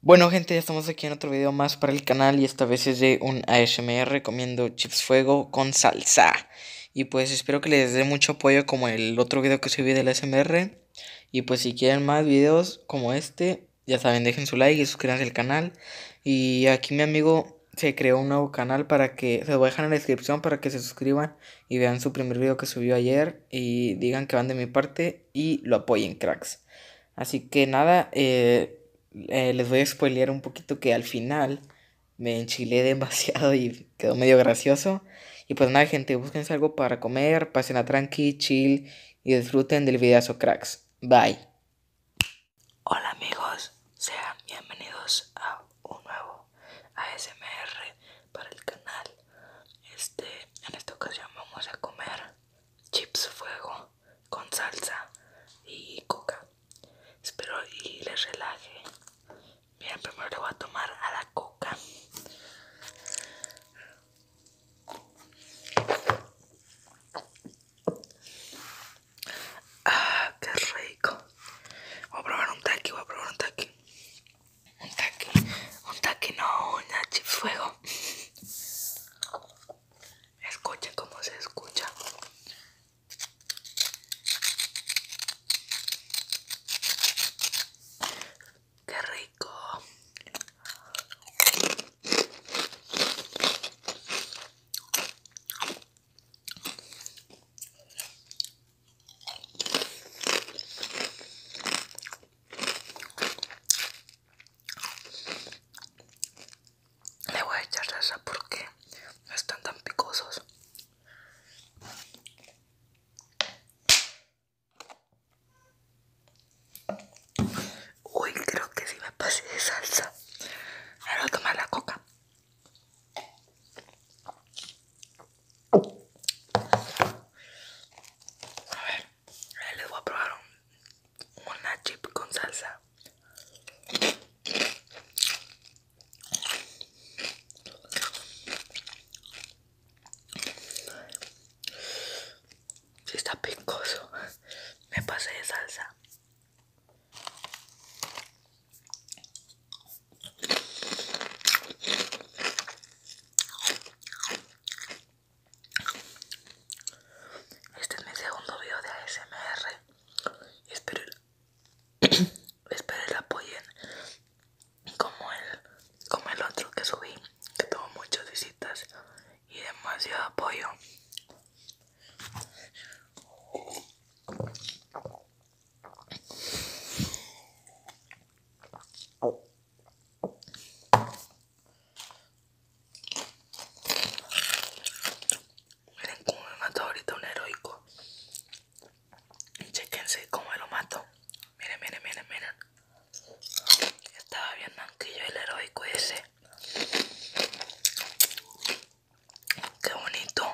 Bueno gente, ya estamos aquí en otro video más para el canal y esta vez es de un ASMR comiendo chips fuego con salsa. Y pues espero que les dé mucho apoyo como el otro video que subí del ASMR. Y pues si quieren más videos como este, ya saben, dejen su like y suscríbanse al canal. Y aquí mi amigo se creó un nuevo canal para que, se lo voy a dejar en la descripción para que se suscriban y vean su primer video que subió ayer. Y digan que van de mi parte y lo apoyen cracks. Así que nada, eh, eh, les voy a spoilear un poquito que al final me enchilé demasiado y quedó medio gracioso. Y pues nada, gente, búsquense algo para comer, pasen a tranqui, chill y disfruten del videazo, cracks. Bye. Hola amigos, sean bienvenidos a un nuevo ASMR para el canal. Este en esta ocasión vamos a comer chips fuego con salsa y coca. Espero y les relaje. Bien, primero le voy a tomar a la coca. Ah, qué rico. Voy a probar un taqui, voy a probar un taqui. Un taqui, un taqui no, un Escuchen cómo se escucha. Qué rico. Le voy a echar salsa porque no están tan picosos. Uy, creo que si me pasé de salsa. Ahora a tomar la coca. A ver, les voy a probar un, una chip con salsa. Si está picoso, me pasé de salsa. Este es mi segundo video de ASMR. Espero, espero el apoyen como el, como el otro que subí, que tuvo muchas visitas y demasiado apoyo. Miren cómo me mató ahorita un heroico. Chequense cómo lo mato. Miren, miren, miren, miren. Estaba viendo bien yo el heroico ese. Qué bonito.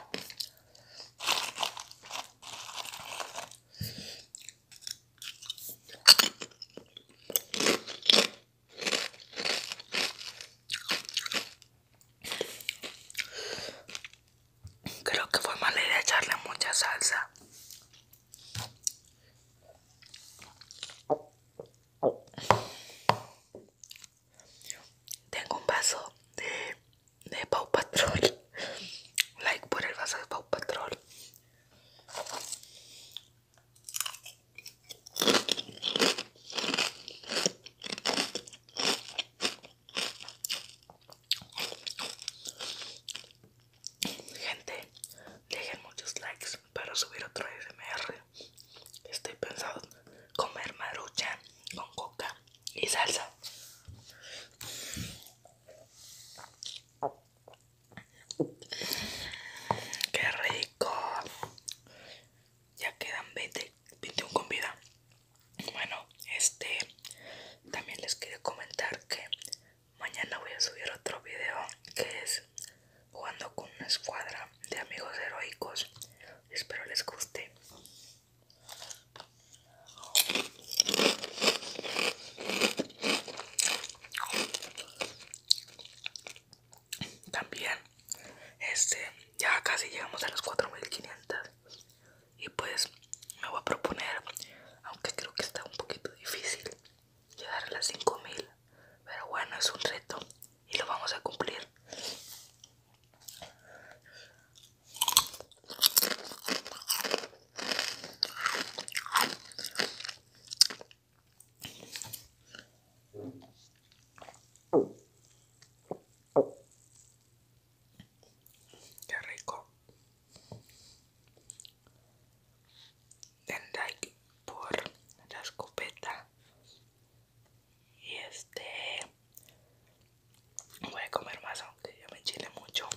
Creo que fue mala idea echarle mucha salsa. Tengo un vaso de, Pau Patrol. Like por el vaso de Pau Patrol. Gente, dejen muchos likes para subir otro SMR estoy pensando comer marucha con coca y salsa. ¡Qué rico! Ya quedan 20, 21 con vida. Bueno, este también les quiero comentar que mañana voy a subir otro video que es jugando con una escuadra de amigos heroicos. Espero les guste. También, este, ya casi llegamos a los 4500 y pues me voy a proponer, aunque creo que está un poquito difícil, llegar a las 5000 pero bueno, es un reto y lo vamos a cumplir. Qué rico like por la escopeta y este voy a comer más aunque ya me chile mucho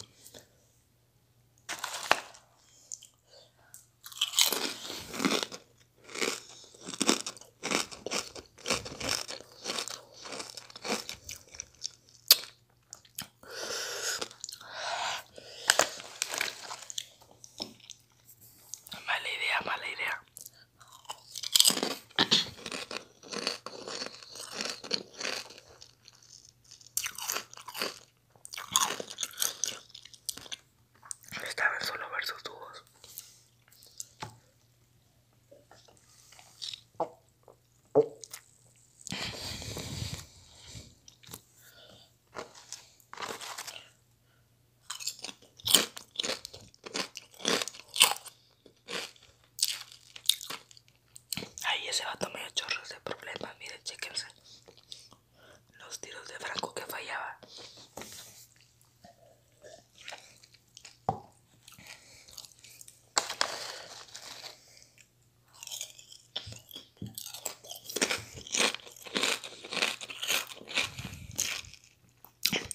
Mala idea, mala idea. Esta vez solo versos dos Ahí ese a tomar chorros de problemas, miren, chequense los tiros de Franco que fallaba.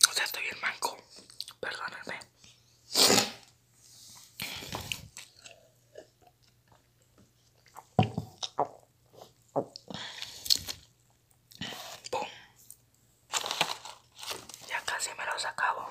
O sea, estoy bien manco. Perdóname. Ya casi me los acabo.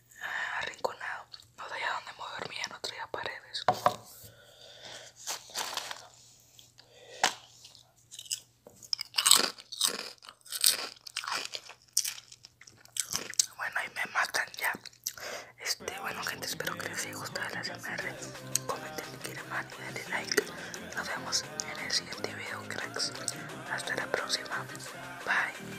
arrinconado. No sabía dónde dormía en no día paredes. Bueno, y me matan ya. Este, bueno gente, espero que les haya gustado el SMR. Comenten si quieren más y denle like. Nos vemos en el siguiente video, cracks. Hasta la próxima. Bye.